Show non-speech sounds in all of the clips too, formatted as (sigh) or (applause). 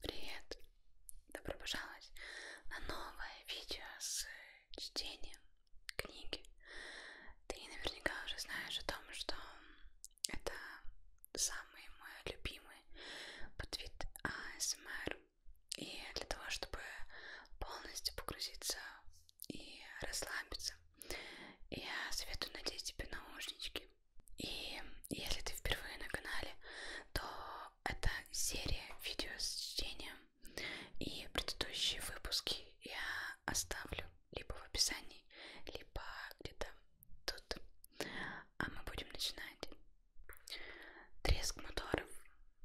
Привет! Добро пожаловать на новое видео с чтением книги. Ты наверняка уже знаешь о том, что это самый мой любимый подвид АСМР. И для того, чтобы полностью погрузиться и расслабиться, я советую надеть тебе наушнички и если ты впервые на канале, то это серия видео с чтением. И предыдущие выпуски я оставлю либо в описании, либо где-то тут. А мы будем начинать. Треск моторов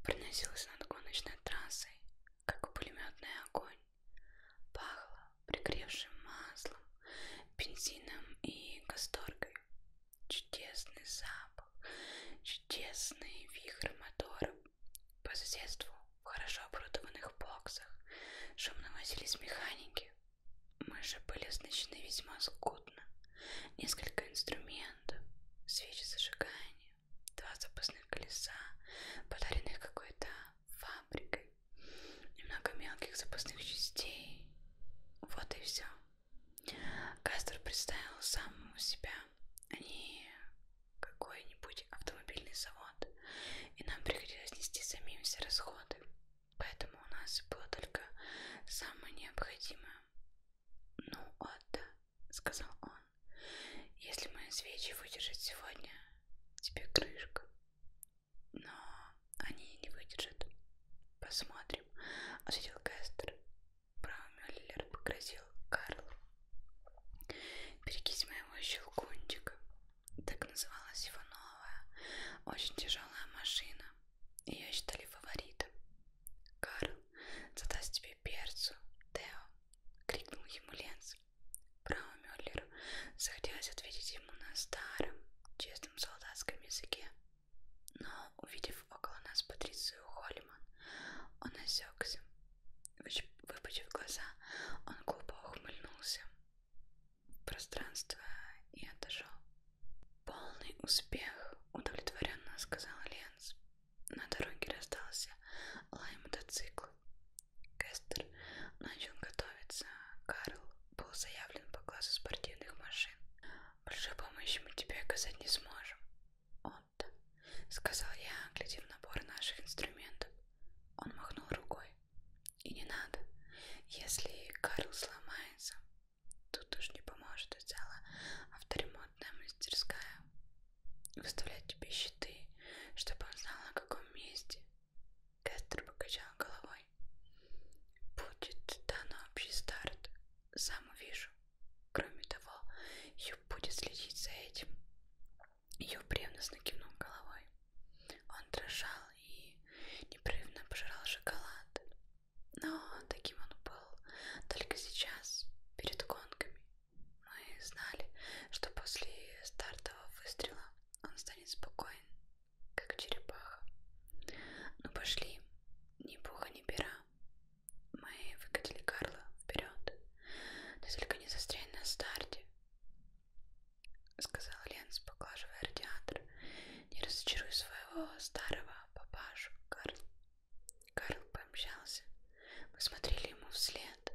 проносился над гоночной трассой, как пулеметный огонь. Пахло пригревшим маслом, бензином и касторкой. Чудесный запах, чудесный вихрь моторов. По соседству в хорошо оборудованных боксах шумно возились механики. Мы же были оснащены весьма скудно. Несколько инструментов, свечи зажигания, два запасных колеса, подаренных какой-то фабрикой немного мелких запасных частей. Вот и все. Кастер представил самому себя, а не какой-нибудь автомобильный завод, и нам приходилось нести самим все расходы. Поэтому у нас было только самое необходимое. Ну, Отто, сказал он, если мои свечи выдержат сегодня, тебе крышка но они не выдержат. Посмотрим, ответил Кестер. Браумеллер погрозил Карлу. Берегись моего щелкунчика. Так называлась его новая, очень тяжелая машина. Ее считали фаворитом. Карл задаст тебе перцу, Тео, крикнул ему Ленс. Браумеллеру захотелось ответить ему на старом, чистом солдатском языке. Но, увидев около нас Патрицию Холлиман, он осекся. Выпучив глаза, он глупо ухмыльнулся в пространство и отошел. «Полный успех!» — удовлетворенно сказал Ленс. На дороге раздался лай мотоцикл. Кестер начал готовиться. Карл был заявлен по классу спортивных машин. Большой помощи мы тебе оказать не сможем. Он-то, сказал я, глядев набор наших инструментов. Он махнул рукой. И не надо. Если Карл сломается, тут уж не поможет и целая авторемонтная мастерская. Выставлять тебе щиты, чтобы он знал, на каком месте. Кэстер покачал головой. Будет дан общий старт. Сам увижу. Кроме того, Ю будет следить за этим. Ю ревностно кивнул головой. Он дрожал и непрерывно пожирал шоколад. Но таким он был только сейчас, перед гонками. Мы знали, что после стартового выстрела он станет спокоен как черепаха. Ну пошли, ни пуха, ни пера. Мы выкатили Карла вперед. Ты только не застрянь на старте, сказал Ленс, поглаживая радиатор. Не разочаруй своего старого папашу, Карл. Карл пообщался. Мы смотрели ему вслед.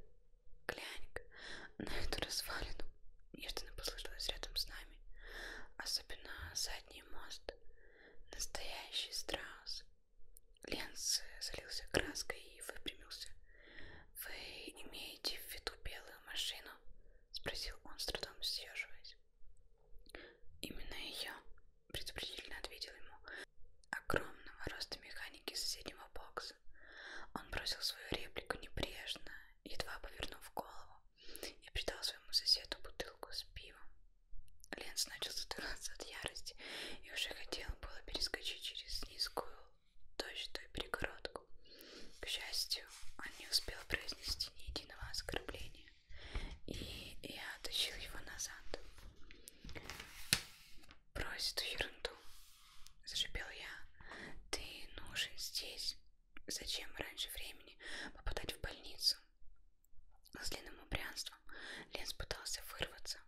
Глянь-ка на эту развалину мост неожиданно послышалось рядом с нами, особенно задний мост. Настоящий страус. Ленс залился краской и выпрямился. «Вы имеете в виду белую машину?» — спросил он, с трудом съеживаясь. «Именно ее», — предупредительно ответил ему, огромного роста механики соседнего бокса. Он бросил свою реплику небрежно, едва повернув голову, и придал своему соседу бутылку с пивом. Ленс начал задыхаться от ярости и уже хотел было перескочить через низкую точную перегородку. К счастью, он не успел произнести ни единого оскорбления, и я тащил его назад. «Брось эту ерунду!» — зашипел я. «Ты нужен здесь, Зачем раньше времени попадать в больницу? С длинным упрянством Ленс пытался вырваться,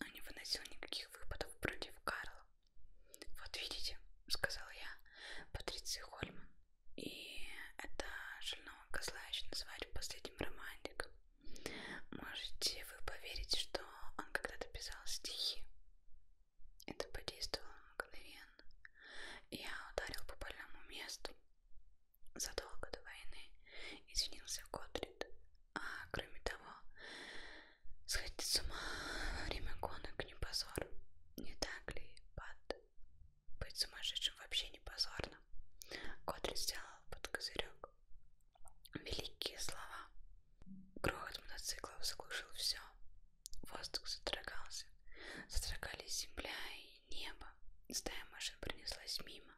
но не выносил никаких выпадов против Карла. «Вот видите», — сказал я, — «Патриция Хольман, и это шального козла еще называют последним романтиком. Можете вы поверить, что он когда-то писал стихи?» Это подействовало мгновенно. Я ударил по больному месту. Задолго до войны извинился Годрид. А кроме того, сходить с ума во время гонок не позор. Не так ли, Пат? Быть сумасшедшим вообще не позорно. Годрид сделал под козырек. Великие слова. Грохот мотоциклов заглушил все. Воздух задрогался. Задрогались земля и небо. Стая машин пронеслась мимо.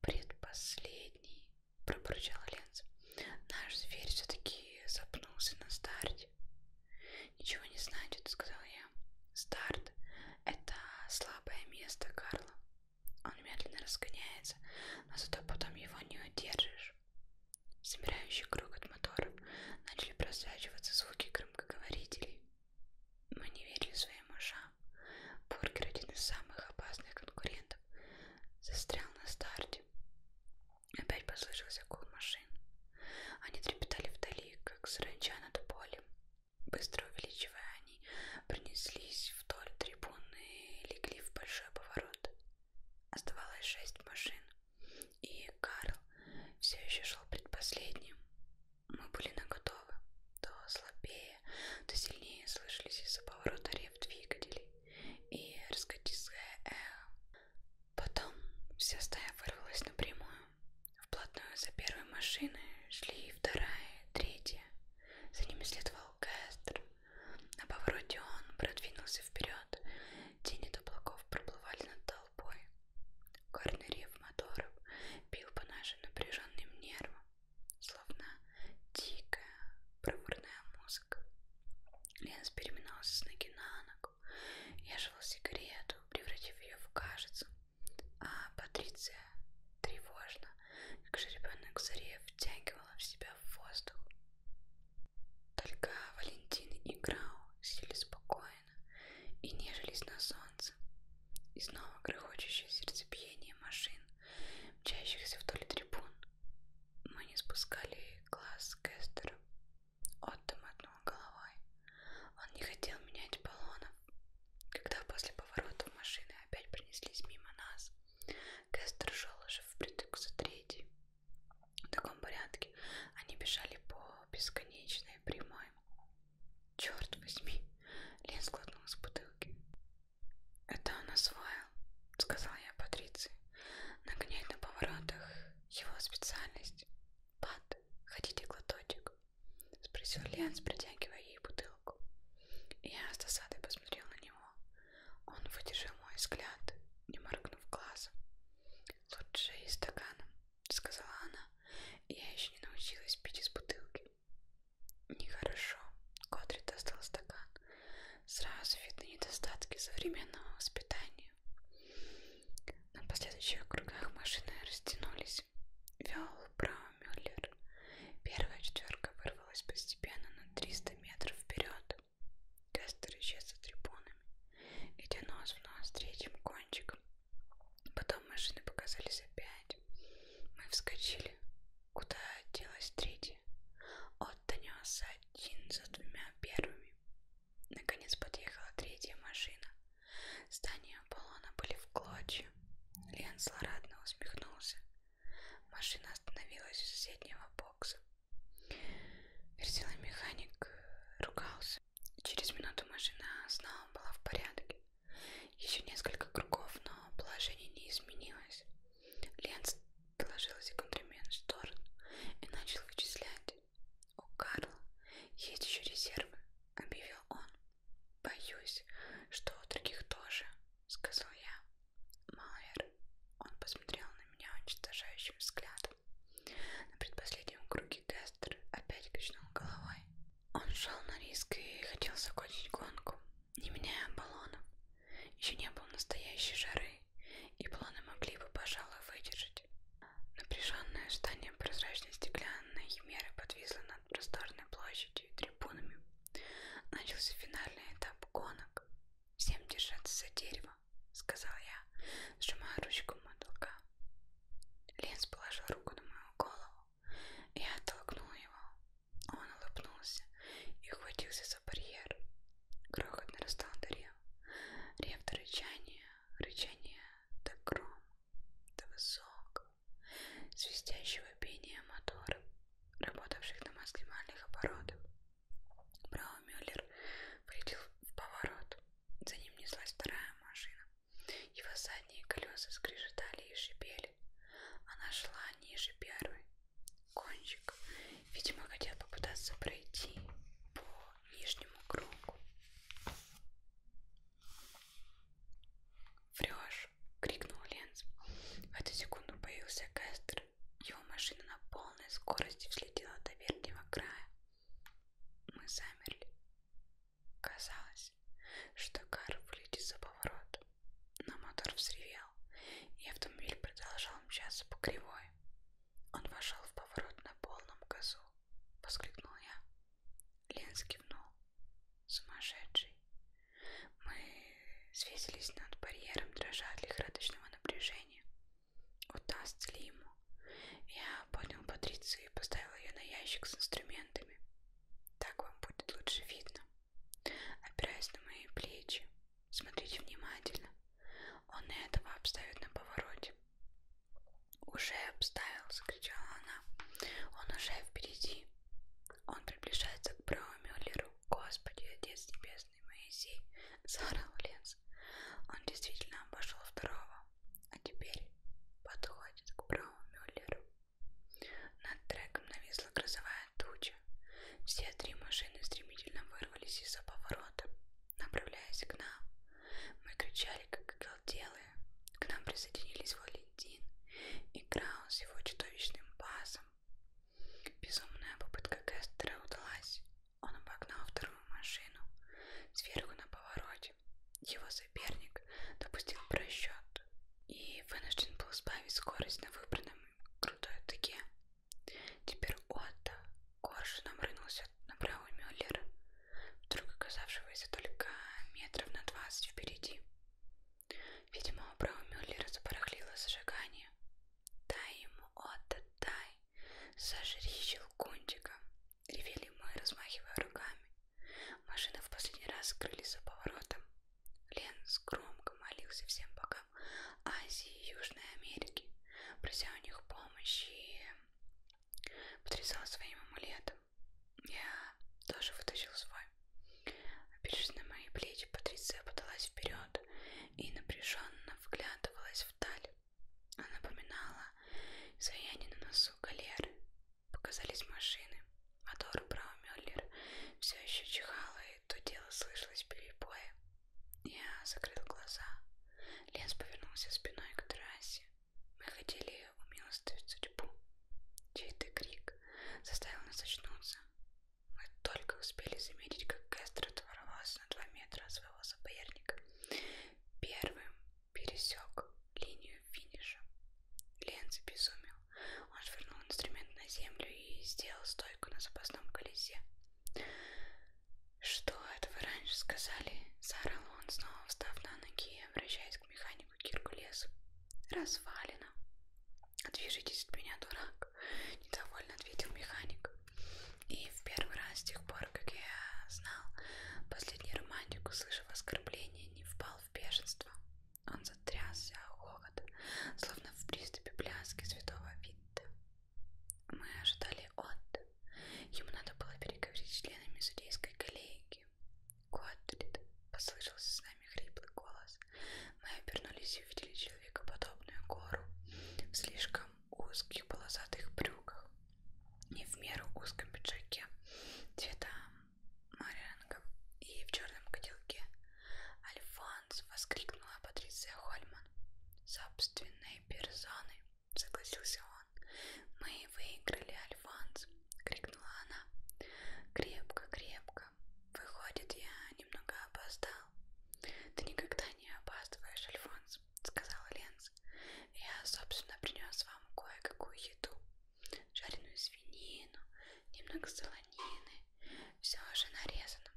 «Предпоследний!» — пробурчал Ленс. «Наш зверь все-таки запнулся на старте». «Ничего не значит», — сказал я. «Старт — это слабое место Карла. Он медленно разгоняется, но зато потом его не удержишь». Собирающий круг от моторов начали просвечиваться звуки громоздких громкоговорителей. Мы не верили своим ушам. Бургер, один из самых опасных конкурентов, застрял на старте. Опять послышался гул машин. Они трепетали вдали, как саранча над полем. Быстро увеличивая, они принеслись вдоль трибуны и легли в большой поворот. Оставалось шесть машин и Карл все еще шел предпоследним. Мы были наготовы, то слабее, то сильнее слышались из-за поворота рев двигателей и раскатистское эхо. Потом вся стая вырвалась напрямую. Вплотную за первой машиной шли вторая, третья. За ними следовал Кэстер. На повороте он продвинулся вперед. Тени облаков проплывали над толпой. Горный рев моторов бил по нашим напряженным нервам, словно дикая проворная музыка. Ленс переминался с ноги на ногу. Я жевал сигарету, превратив ее в кашицу. А Патриция тревожно, как жеребенок заре, втягивала в себя воздух. Только Валентин и Грау сели спокойно хозяина и нежились на солнце. И снова грохочущее сердцебиение машин, мчащихся вдоль трибун. Мы не спускали глаз с Кестера. Отто мотнул головой. Он не хотел менять баллонов. Когда после поворота машины опять принеслись мимо нас, Кестер шел уже впритык за третий. В таком порядке они бежали по бесконечной прямой. Черт возьми! Лен сглотнул с бутылки. Это он освоил, сказал я Патриции. Нагонять на поворотах его специальность. Пат, хотите глоточек? Спросил Ленс, протягивая ей бутылку. Я с досадой посмотрел на него. Он выдержал мой взгляд, не моргнув глазом. Лучше и стаканом, — сказала она. «Я еще не научилась пить из бутылки». «Нехорошо», — Котрит достал стакан. «Сразу видны недостатки современного воспитания». На последующих кругах машины растянулись. Вел Браумюллер. Первая четверка вырвалась постепенно на 300 метров вперед. Кастер исчез за трибунами, и нос в нос третьим кончиком Потом машины показались опять. Мы вскочили. Куда делась третья? От донесся один за двумя первыми. Наконец подъехала третья машина. Здания Аполлона были в клочья. Лен злорадно усмехнулся. Машина остановилась у соседнего бокса. Вертеломеханик ругался. Через минуту машина снова была в порядке. Еще несколько кругов, но положение не изменилось. Ленц положил секундремент в сторону и начал вычислять. У Карла есть еще резервы, объявил он. Боюсь, что у других тоже, сказал я. Малвер, он посмотрел на меня уничтожающим взглядом. На предпоследнем круге Кастер опять качнул головой. Он шел на риск и хотел закончить гонку, не меняя баллонов. Еще не было настоящей жары, и баллоны могли бы, пожалуй, выдержать. Напряженное здание прозрачной стеклянной химеры подвисло над просторной площадью и трибунами. Начался финальный этап гонок. Всем держаться за дерево, сказал я, сжимая ручку мотылка. Линс положил руку на мою голову, и я оттолкнул его. Он улыбнулся и ухватился за барьер. Грохот нарастал до рев. Рев до рычания, рычание до грома, до высокого, свистящего пения моторов, работавших на максимальных оборотах. Браумюллер влетел в поворот. За ним неслась вторая машина. Его задние колеса скрежетали и шипели. Она шла ниже первой. Кончик, видимо, хотел попытаться пройти по нижнему кругу. «Врешь!» — крикнул Ленц. В эту секунду появился Кастер. Его машина на полной скорости взлетела до верхнего края. Мы замерли. Казалось, что кар вылетит за поворот, но мотор взревел, и автомобиль продолжал мчаться по кривой. Он вошел в поворот на полном газу, воскликнул я. Ленс кивнул. Сумасшедший. Мы свесились над барьером, дрожа от лихорадочного напряжения. Удастся ли ему я поднял Патрицию и поставил ее на ящик с инструментами. Так вам будет лучше видно. Опираясь на мои плечи, смотрите внимательно. Он и этого обставит на повороте. «Уже обставил!» — закричала она. «Он уже впереди!» Он приближается к Браумюллеру. «Господи, Отец Небесный Моисей!» — заорал лес. Он действительно обошел второго а теперь подходит к Брау Мюллеру. Над треком нависла грозовая туча. Все три машины стремительно вырвались из-за поворота, направляясь к нам. Мы кричали, как оголделые. К нам присоединились Валентин и Краус с его чудовищным пасом. Безумная попытка Кестера удалась. Он обогнал вторую машину сверху на повороте его соперник допустил просчет и вынужден был сбавить скорость на выбранном крутой тыке. Теперь Отто коршуном рынулся на правый Мюллер, вдруг оказавшегося только метров на двадцать впереди. Видимо, у правого Мюллера запорохлило зажигание. «Дай ему, Отто, дай! Сожри щелкунчика!» Ревели мы, размахивая руками. Машины в последний раз скрылись за поворотом. Ленс громко молился всем богам Азии и Южной Америки, прося у них помощи и потрясал своим амулетом. Я тоже вытащил свой. Опершись на мои плечи, Патриция подалась вперед и напряженно вглядывалась вдаль. Напоминала изваяние на носу галеры. Показались машины. Мотор Браумюллер все еще чихала, и то дело слышалось перебоя. Я закрыл глаза. Лес повернулся спиной к трассе. Мы хотели умилостивить судьбу. Чей-то крик заставил нас очнуться. Мы только успели заметить, как Кестер отворвался на два метра от своего соперника. Первым пересек линию финиша. Лен безумел. Он швырнул инструмент на землю и сделал стойку на запасном колесе. «Что это вы раньше сказали?» — заорал он, снова встав на ноги и обращаясь к механику Киркулесу. «Развалено!» «Отвяжитесь от меня, дурак!» — недовольно ответил механик. И в первый раз с тех пор, пор, как я знал последний романтик, услышав оскорбление, не впал в бешенство. Он затрясся хохот, словно в приступе пляски святого Витта. Мы ожидали от. Ему надо было переговорить с членами судейской коллегии. Котлет, послышался с нами хриплый голос. Мы обернулись и увидели человека подобную гору в слишком узких полосатых брюках не в меру узком пиджаке цвета морянка и в черном котелке. Альфонс! воскликнула Патриция Хольман. Собственной персоной, согласился он. Мы выиграли, Альфонс! крикнула она. Крепко, крепко. Выходит, я немного опоздал. Ты никогда не опаздываешь, Альфонс, сказала Ленс вас. Я, собственно, принес вам кое-какую еду. Жареную свинину, немного солонины. Все уже нарезано.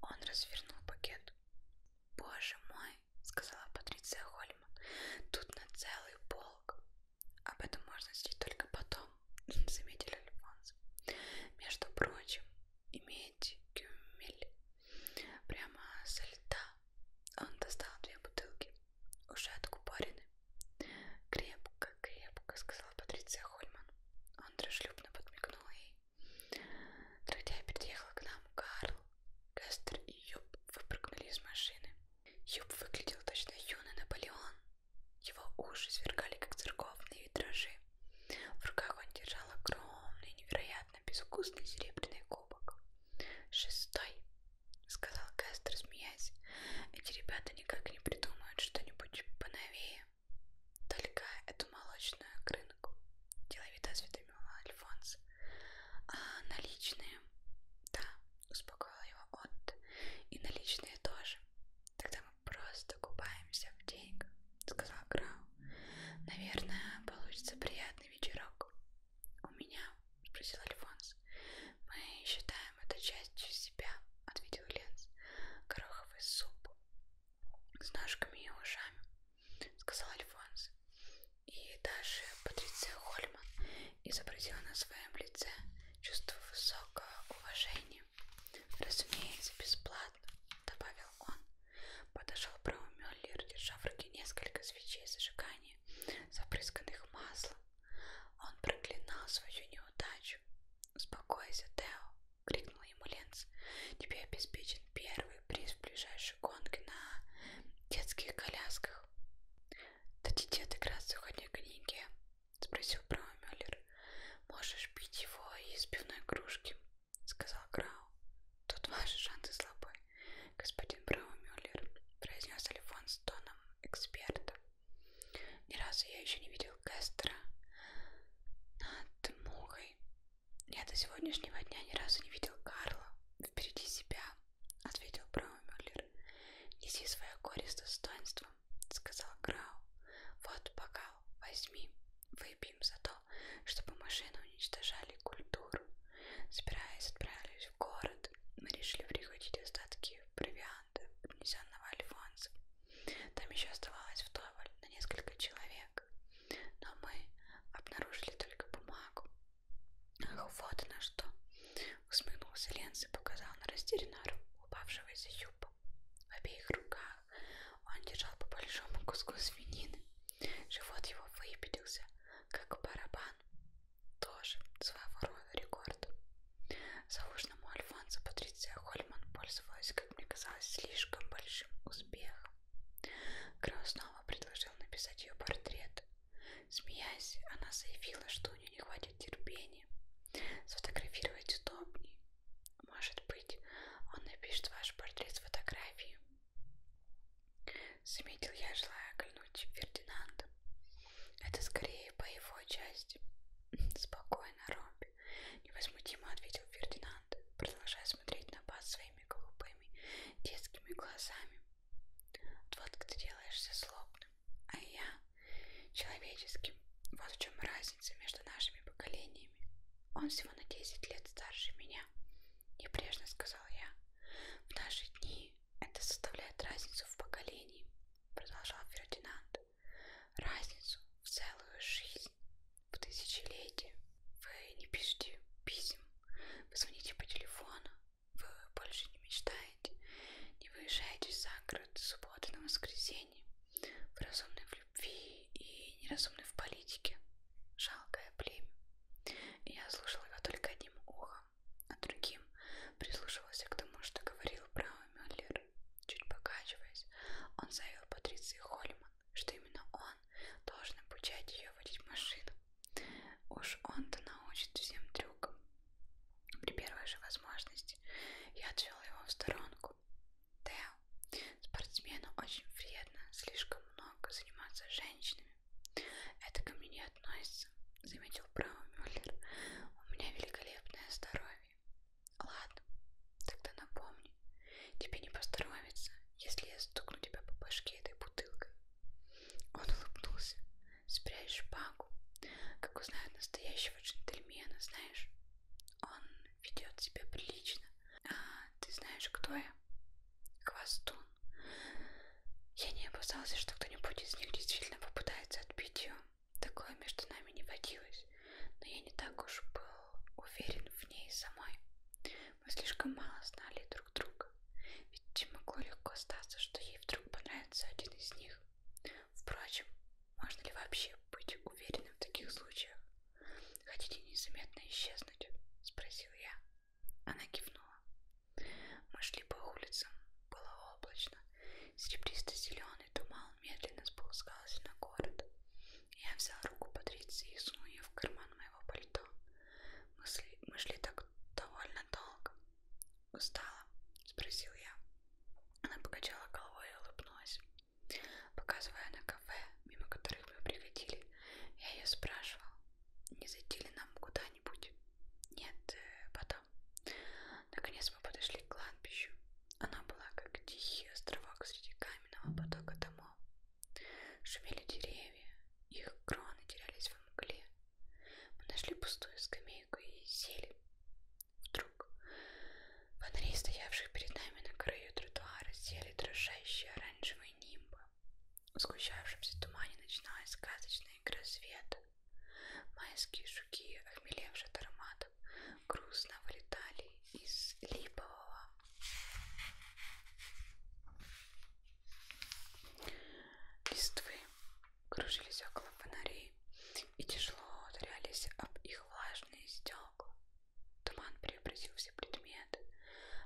Он развернул пакет. «Боже мой!» — сказала Патриция Хольман. «Тут на целый полк. Об этом можно сидеть только потом», — заметил Альфонс. «Между прочим, имеете кюмель прямо со льда. Он достал две бутылки, уже откупорены. «Крепко, крепко», — сказала Патриция Хольман. Он дружелюбно подмигнул ей. Трудяй переехал к нам Карл, Кастер и Юб выпрыгнули из машины. Юб выглядел точно юный Наполеон. Его уши свергали, как церковные витражи. В руках он держал огромный, невероятно безвкусный серебряный кубок. Шестой, сказал Кастер, смеясь, эти ребята никак не придумают что-нибудь поновее. Только эту молочную крынку, деловито осведомила Альфонс. А наличные? Да, успокоила его Отт. И наличные тоже. Тогда мы просто купаемся в деньгах, сказал Грау. Наверное, получится приятный вечерок. У меня? спросил Альфонс. Мы считаем это частью себя, ответил Ленс. Гороховый суп с ножками и ушами, сказал Альфонс. И даже Патриция Хольман изобразила на своем лице чувство высокого уважения. Разумеется, бесплатно, добавил он. Подошел Брау Мюллер, держа в руке несколько свечей зажигания ладони, запрысканных маслом. Он проклинал свою неудачу. «Успокойся, Тео!» — крикнул ему Ленц. «Тебе обеспечен первый приз в ближайшей гонке на детских колясках». «Дадите отыграться хоть книги?» — спросил Браумюллер. «Можешь пить его из пивной кружки», — сказал Грау. «Тут ваши шансы слабы господин Браумюллер, произнес Альфон с тоном эксперта. Ни разу я еще не видел Кастера над мухой. Я до сегодняшнего дня ни разу не видел Карла впереди себя, ответил Браумюллер. Неси свое горе с достоинством, сказал Грау. Вот бокал, возьми, выпьем за то, чтобы машины уничтожали культуру. Собираясь, отправились в город, мы решили прихватить остатки провианта, принесенного Альфонсом. Там еще оставалось вдоволь на несколько человек, но мы обнаружили только бумагу. Ах, вот она что! Усмехнулся Ленс и показал на растерянную руку упавшего из юбок. В обеих руках он держал по большому куску свинины. Живот его выпятился, как барабан Иван тоже своего рода рекорд. Заужным Альфонсо Патриция Хольман пользовалась, как мне казалось, слишком большим успехом. Крау снова предложил написать ее портрет. Смеясь, она заявила, что у нее не хватит терпения. Сфотографировать удобнее. Может быть, он напишет ваш портрет с фотографией. Заметил я, желая оглянуть Фердинанда. Это скорее по его части. (laughs) Спокойно, Робби. Невозмутимо ответил Фердинанд, продолжая смотреть на Баз своими голубыми детскими глазами. Вот как ты делаешься злобным, а я человеческим. Вот в чем разница между нашими поколениями. Он всего на 10 лет старше меня. Небрежно сказал я. В наши дни это составляет разницу в поколении, продолжал Фердинанд, разницу в целую жизнь, в тысячелетие. Вы не пишете писем, вы звоните по телефону, вы больше не мечтаете, не выезжаете за город с субботы на воскресенье, вы разумны в любви и неразумны в политике. Жалкое племя. Я слушала его только одним ухом ухом, а другим прислушивался к тому, что говорил Брау Мюллер. Чуть покачиваясь, он заявил Патриции Хольман, что именно он должен обучать ее водить машину. Уж он-то научит всем трюкам. При первой же возможности я отвел его в сторонку. Тео, спортсмену очень вредно слишком много заниматься женщинами. Это ко мне не относится, заметил право Мюллер. У меня великолепное здоровье. Ладно, тогда напомни. Тебе не поздоровится, если я стукну тебя по башке этой бутылкой. Он улыбнулся. Спрячь шпагу, как узнают настоящего джентльмена, знаешь. Он ведет себя прилично. А ты знаешь, кто я? Хвостун. Я не опасался, что кто-нибудь из них действительно попытается отбить ее. Такое между нами не водилось, но я не так уж был уверен в ней самой. Мы слишком мало знали друг друга, ведь могло легко статься, что ей вдруг понравится один из них. Впрочем, можно ли вообще быть уверенным в таких случаях? Хотите незаметно исчезнуть? Спросил я. Она кивнула. Мы шли по улицам. Было облачно. Серебристо-зеленый туман медленно спускался на город. Я взял руку Патриции и сунул ее в карман моего пальто. Мы, сли... Мы шли так довольно долго. Устала? Спросил я. Она покачала головой и улыбнулась. Показывая на кафе, мимо которых мы приходили, я ее спрашивал, не зайти ли нам куда-нибудь? Нет, э, потом. Наконец мы подошли к кладбищу. Она была как тихий островок среди каменного потока домов. Шумели деревья, их кроны терялись в мгле. Мы нашли пустую скамейку и сели. Вдруг фонари, стоявших перед нами на краю тротуара, сели дрожащие оранжевые нимбы. В сгущавшемся тумане начиналась сказочная игра света. Майские жуки, охмелевшие от ароматов, грустно вылетали из липового листвы, кружились около фонарей и тяжело ударялись об их влажные стекла. Туман преобразил все предметы,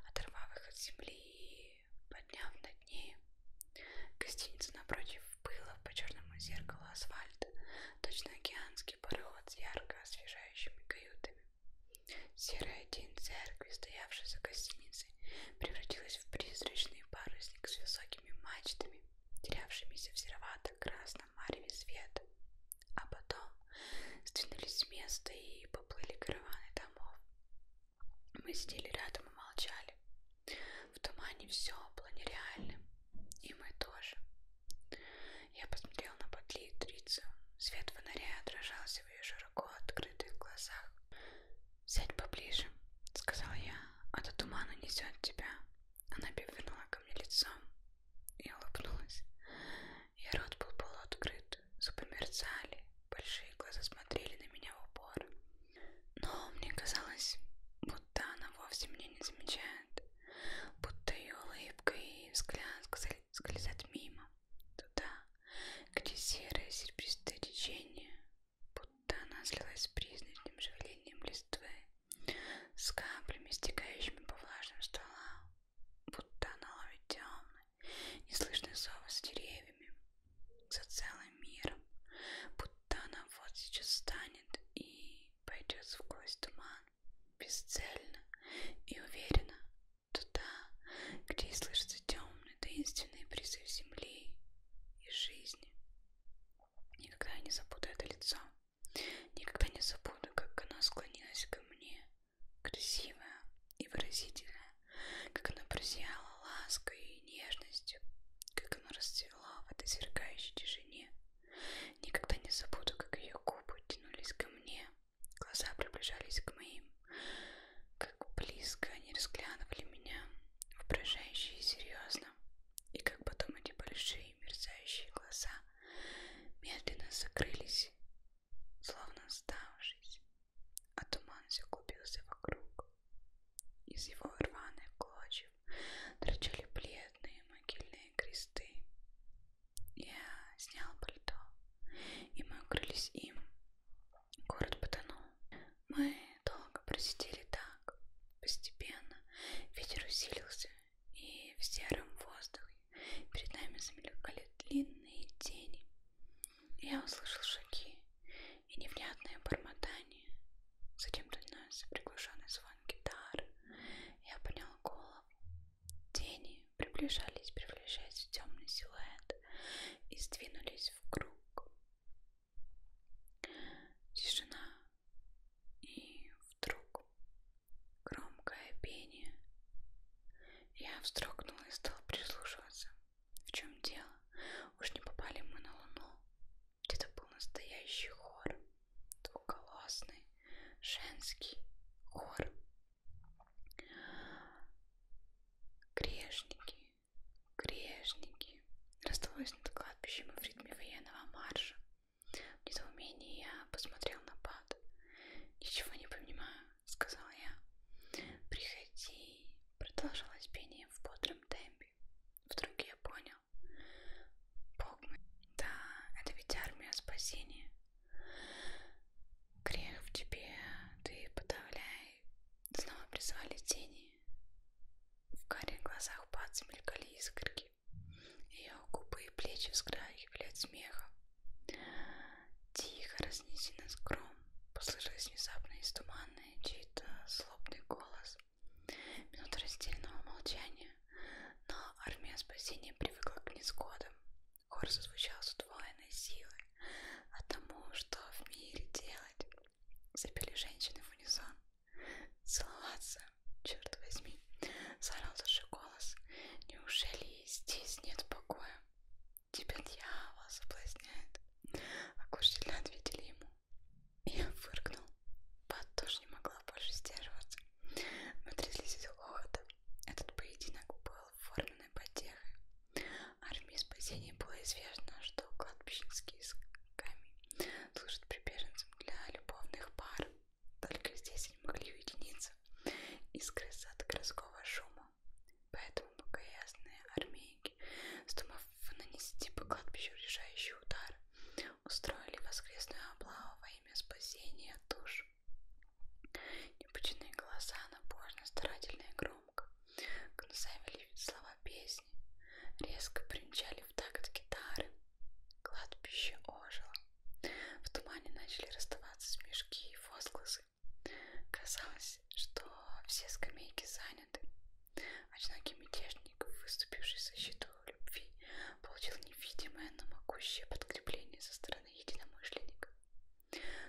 оторвав их от земли и подняв над ней. Гостиница напротив пыла по черному зеркалу асфальта, точно океанский пароход с ярко освежающими каютами. Серая тень церкви, стоявшей за гостиницей, превратилась в призрачный парусник с высокими мачтами, терявшимися в серовато-красном мареве света. А потом сдвинулись с места и поплыли караваны домов. Мы сидели рядом и молчали. В тумане все было нереальным. И мы тоже. Я посмотрел на подлитрицу. Свет фонаря отражался в ее широко открытых глазах. «Сядь поближе», — сказал я, — «а то тумана несет тебя». Она повернула ко мне лицом и улыбнулась. Ее рот был полуоткрыт, зубы мерцали, большие глаза смотрели на меня в упор. Но мне казалось, будто она вовсе меня не замечает, будто ее улыбка и взгляд скользят мимо, туда, где серое серебристое течение, будто она слилась с призрачным шевелением листвы, с каплями, стекающими по влажным стволам, будто она ловит темный, неслышный зов с деревьями, за целый мир, будто она вот сейчас встанет и пойдет сквозь туман бесцельно и уверенно туда, где слышится темный таинственный призыв земли и жизни. Никогда не забуду это лицо, никогда не забуду, как она склонилась ко мне, красивая и выразительная, как оно прозияло лаской и нежностью, как оно расцвело в этой сверкающей тишине. Никогда не забуду, как ее губы тянулись ко мне, глаза приближались к моим, как близко они разглядывали меня, впражающе и серьезно, и как потом эти большие мерцающие глаза медленно закрылись, словно оставшись а туман загубился вокруг. Из его рваных клочев торчали бледные могильные кресты. Я снял пальто, и мы укрылись им. Город потонул. Мы долго просидели так. Постепенно ветер усилился, и в сером воздухе перед нами замелькали длинные тени. Я услышал шаги и невнятное бормотание. Затем донесся приглушенный звон гитары. Я поднял голову. Тени приближались, превращаясь в темный силуэт, и сдвинулись в круг. Тишина и вдруг громкое пение. Я вздрогнул и стал прислушиваться. В чем дело? Уж не попали мы на луну. Где-то был настоящий хор. Двухголосный, женский хор. Грешники, грешники. Раздалось над кладбищем и в ритме военного марша. В недоумении я посмотрел на пад. Ничего не понимаю, сказал я. Приходи, Продолжалось пение в бодром темпе. Вдруг я понял. Бог мой, да, это ведь армия спасения. Грех в тебе, ты подавляй. Снова призвали тени. В карих глазах пац мелькали искорки. Ее губы и плечи вздрагивали от смеха. Тихо разнесено скром. Послышалось внезапно из тумана наверное, чей-то злобный голос. Минута раздельного молчания, но армия спасения привыкла к несгодам. Хор зазвучал с удвоенной силой, а тому, что в мире делать, запели женщины в унисон. Целоваться, черт возьми, заорал даже голос. Неужели здесь нет покоя? Тебя дьявол соблазняет. Окушительно ответили ему. Я фыркнул. Пат тоже не могла больше сдерживаться. Мы тряслись из хохота. Этот поединок был оформленной потехой. Армии спасения было известно, что кладбищенские сками служат прибеженцам для любовных пар. Только здесь они могли уединиться. Искры от городского шума. Поэтому богоясные армейки, вздумав нанести по кладбищу решающий удар, устроили воскресную облаву во имя спасения душ. Непученные голоса напорно, старательно и громко гнусавили слова песни, резко примчали в такт гитары. Кладбище ожило. В тумане начали расставаться смешки и возгласы. Казалось, оказалось, что все скамейки заняты. Одинокий мятежник, выступивший со счету любви, получил невидимое, но могущее подкрепление со стороны единомышленника.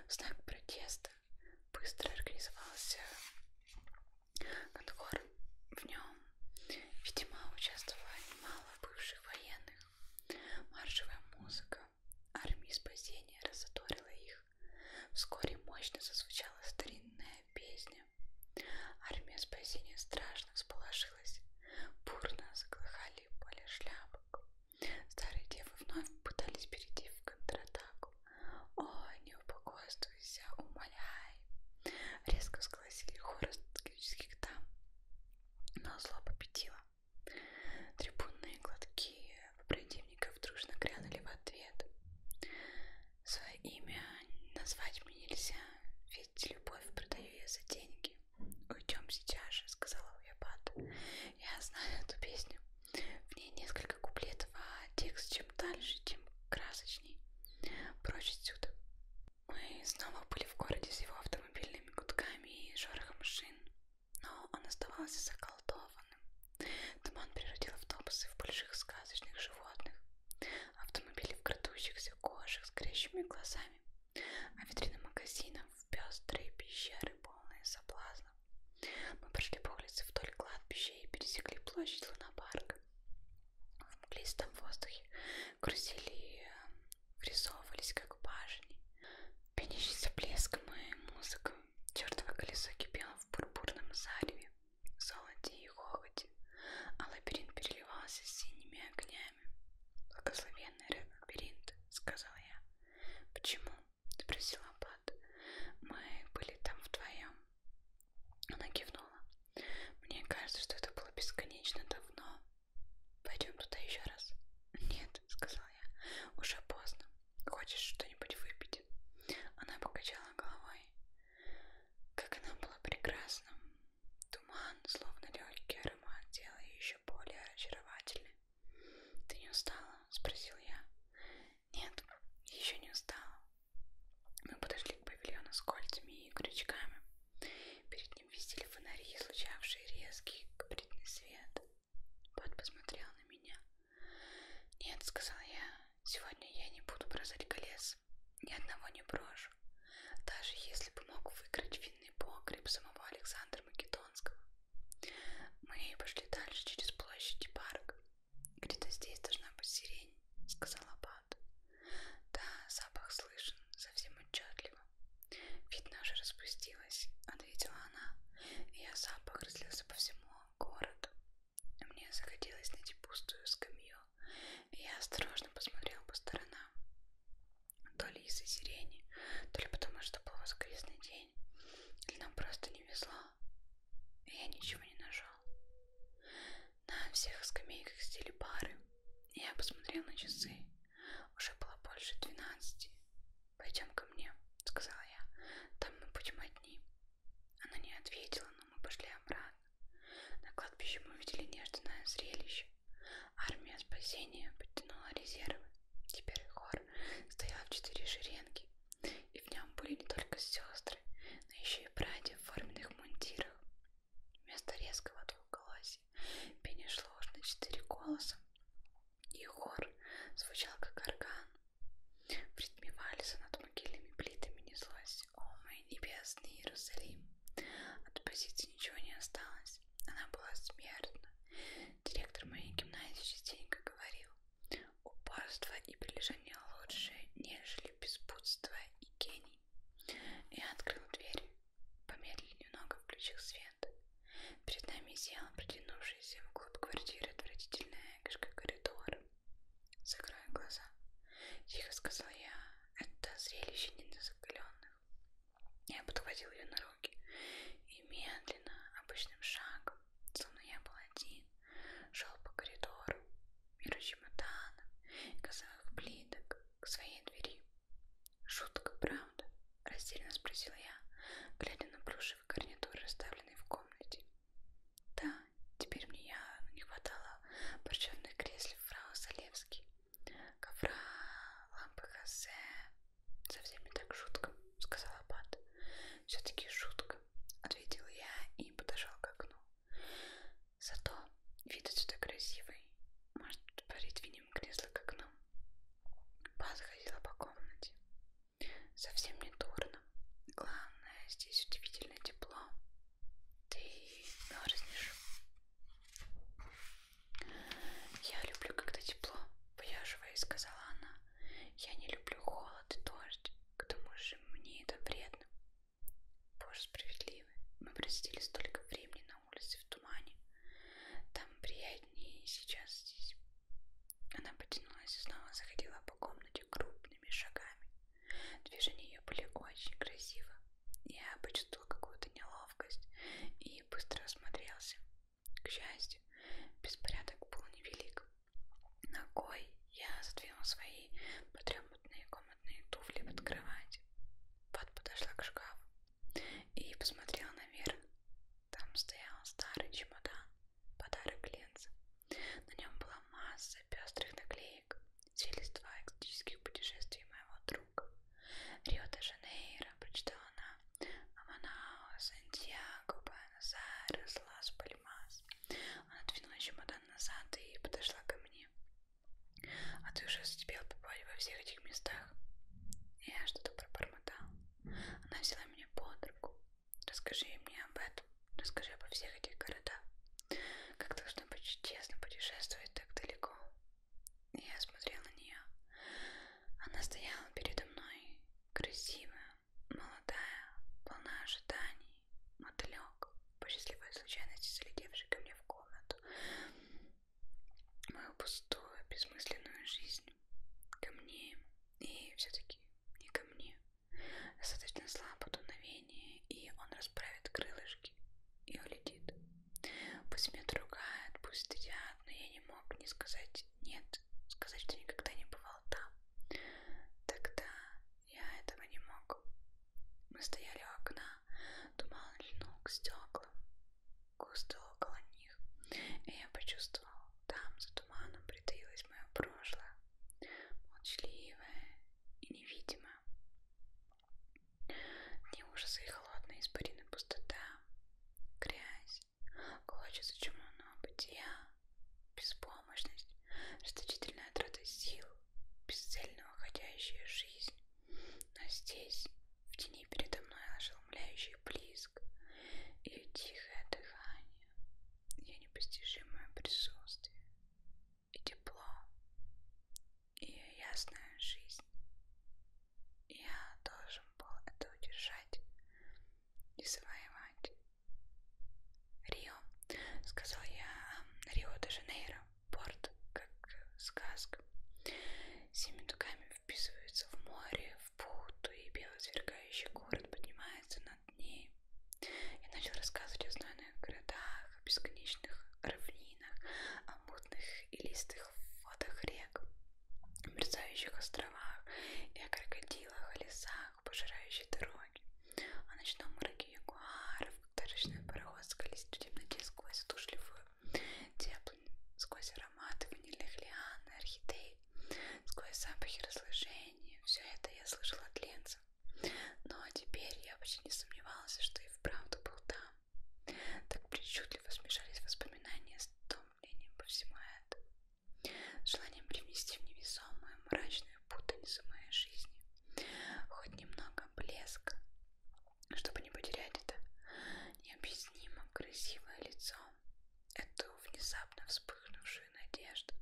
В знак протеста быстро организовался конкор. В нем, видимо, участвовало немало бывших военных. Маршевая музыка армии спасения разоторила их. Вскоре мощно зазвучала старинная песня. Армия спасения страшно всполошилась. Бурно заглыхали поле шляпок. Старые девы вновь пытались перейти в контратаку. «О, не упокойствуйся, умоляй!» Резко сгласили хоры стратегических дам. Но зло победило. Трибунные глотки противников дружно грянули в ответ. Свое имя назвать мне нельзя, ведь любовь продаю я за деньги. Уйдем сейчас же, сказала Уябат. Я знаю эту песню. В ней несколько куплетов, а текст чем дальше, тем красочней. Прочь отсюда. Мы снова были в городе с его автомобильными гудками и шорохом шин, но он оставался заколдован туманом. Туман превратил автобусы в больших сказочных животных, автомобили в крадущихся кожах с крещими глазами, а витрины магазинов в пестрые пещеры, полные соблазнов. Мы прошли по улице вдоль кладбища и пересекли площадь Лунопарка. В мглистом воздухе крутили, э, рисовывались как башни, пенящиеся блеском и музыкой чертово колесо кипело в пурпурном зареве, золоте и хохоте, а лабиринт переливался синими огнями. «Благословенный лабиринт», — сказала я. «Почему?» — спросил Аббат. «Мы были там вдвоем». Она кивнула. «Мне кажется, что это было бесконечно давно. Пойдем туда еще раз». «Нет», — сказал я, — «уже поздно. Хочешь что-нибудь выпить? Она покачала головой. Как она была прекрасна. Туман, словно легкий аромат, делал ее еще более очаровательной. Ты не устала? Спросил я. Нет, еще не устала. Мы подошли к павильону с кольцами и крючками. Перед ним висели фонари, излучавшие резкий капритный свет. Бот посмотрел на меня. «Нет», — сказал я, — «сегодня я не буду бросать колес, ни одного не брошу, даже если бы мог выиграть винный погреб самого Александра Македонского». Мы пошли дальше через площадь и парк. «Где-то здесь должна быть сирень», — сказал Аббат. «Да, запах слышен, совсем отчетливо. Видно, уже распустилась», — ответила она. «Я запах разлился по всему городу. Мне захотелось найти пустую скамью, и я осторожно посмотрел по сторонам. То ли из-за сирени, то ли потому, что был воскресный день, или нам просто не везло, и я ничего не нашел. На всех скамейках сидели пары, и я посмотрел на часы. Уже было больше двенадцати. «Пойдем ко мне», — сказала я. «Там мы будем одни. Она не ответила, но мы пошли обратно. На кладбище мы увидели нежданное зрелище. Армия спасения подтянула резервы. Теперь хор стоял в четыре шеренги, и в нем были не только сестры, но еще и братья в форменных мундирах. Вместо резкого двухголосия пение шло на четыре голоса, и хор звучал как орган. В ритме вальса над могильными плитами неслась «О, мой небесный Иерусалим!» От позиции ничего не осталось. Она была смертна. Директор моей гимназии частенько говорил «Упорство и прилежание лучше, нежели беспутство и гений». Я открыл дверь, помедлил немного, включил свет. Перед нами села, протянувшаяся вглубь квартиры, отвратительная экошка коридора. Закрой глаза. Тихо сказал я. Это зрелище недозакаленных. Я подхватил ее на руки и медленно, обычным шагом, словно я был один, шел по коридору, миру чемоданов и газовых плиток к своей двери. Шутка, правда? Растерянно спросила я, глядя на плюшевый гарнитур, расставленный в комнате. Да, теперь мне явно не хватало парчевных кресел фрау Залевский, ковра, лампы Хосе. Совсем не так жутко, сказала Пат. Все-таки жутко, ответил я и подошел к окну. Зато вид отсюда красивый. Может, придвинем кресло к окну. Пат ходила по комнате. Совсем не дурно, уютно. Главное, здесь удивительно тепло. Ты мерзнешь. Я люблю, когда тепло, пояживая, сказала она. Я не люблю холод и дождь. К тому же мне это вредно. Боже справедливый. Мы просидели столько времени на улице в тумане. Там приятнее сейчас здесь. Она потянулась и снова заходила по комнате крупными шагами. Движения ее были очень красивы. Я почувствовал какую-то неловкость и быстро осмотрелся. К счастью, беспорядок был невелик. Ногой я задвинул свои потрепанные комнатные туфли под кровать. Пат подошла к шкафу и посмотрела наверх. Там стоял старый чемодан, подарок Ленца. На нем была масса пестрых наклеек, свидетельства экзотических путешествий моего друга. Рио-де-Жанейро, прочитала она, Аманао, Сантьяго, Буэнос-Айрес, Лас-Пальмас. Она двинула чемодан назад и подошла ко мне. А ты уже успел побывать во всех этих местах? Я что-то пробормотал. Она взяла меня под руку. Расскажи мне об этом, расскажи обо всех этих городах. Как должно быть честно путешествовать так далеко. Я смотрел на нее. Она стояла передо мной, красивая, молодая, полна ожиданий, мотылек, по счастливой случайности залетевший ко мне в комнату. Мою пустую, бессмысленную жизнь. Ко мне. И все-таки не ко мне. Достаточно слабо дуновение, и он расправит крылышки и улетит. Пусть меня ругают, пусть стыдят, но я не мог не сказать «нет», сказать, что никогда не бывал там. Тогда я этого не мог. Мы стояли у окна, туман льнул к стеклам, густо около них, и я почувствовал, там за туманом притаилось мое прошлое, молчаливое и невидимое. Дни ужаса и холодные испарины пустота, грязь, клочья зачумленного бытия, беспомощность, расточительная трата сил, бесцельно уходящая жизнь. Но здесь, в тени передо мной, ошеломляющий близк, ее тихое дыхание, ее непостижимое присутствие, и тепло, и ясная жизнь. Я должен был это удержать и завоевать. Рио, сказал я, Рио-де-Жанейро, порт, как сказка. Семь дугами вписывается в море, в путу, и белосверкающий город поднимается над ней. Я начал рассказывать о знойных городах, о бесконечных равнинах, о мутных и листых водах рек, о мерцающих островах и о крокодилах, о лесах, пожирающих дороги, о ночном мраке ягуаров, когда речной пароход скользит в темноте сквозь задушливую теплынь, сквозь ароматы ванильных лиан и орхидей, сквозь запахи разложения. Все это я слышала от Ленца. Ну а теперь я почти не сомневалась, что и вправду был там. Так причудливо смешались воспоминания с томлением по всему этому. Желанием привнести в невесомую мрачную путаницу моей жизни. Хоть немного блеска, чтобы не потерять это необъяснимо красивое лицо. Эту внезапно вспыхнувшую душу и надежду.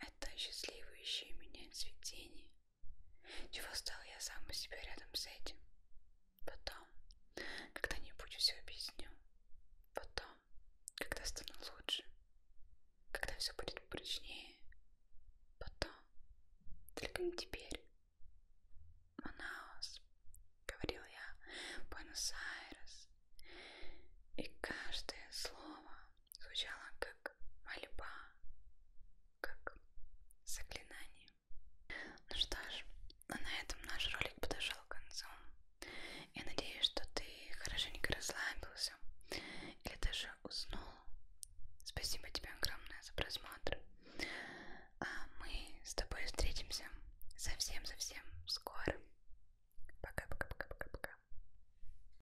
Это счастливающее меня цветение. Чего стал я сам у себя рядом с этим? Потом, когда-нибудь все объясню. Потом, когда стану лучше. Когда все будет прочнее. Потом, только не теперь. Манаус, говорил я, Буэнос-Айрес. И каждое слово звучала как мольба, как заклинание. Ну что ж, на этом наш ролик подошел к концу. Я надеюсь, что ты хорошенько расслабился или даже уснул. Спасибо тебе огромное за просмотр. А мы с тобой встретимся совсем-совсем скоро. Пока-пока-пока-пока-пока.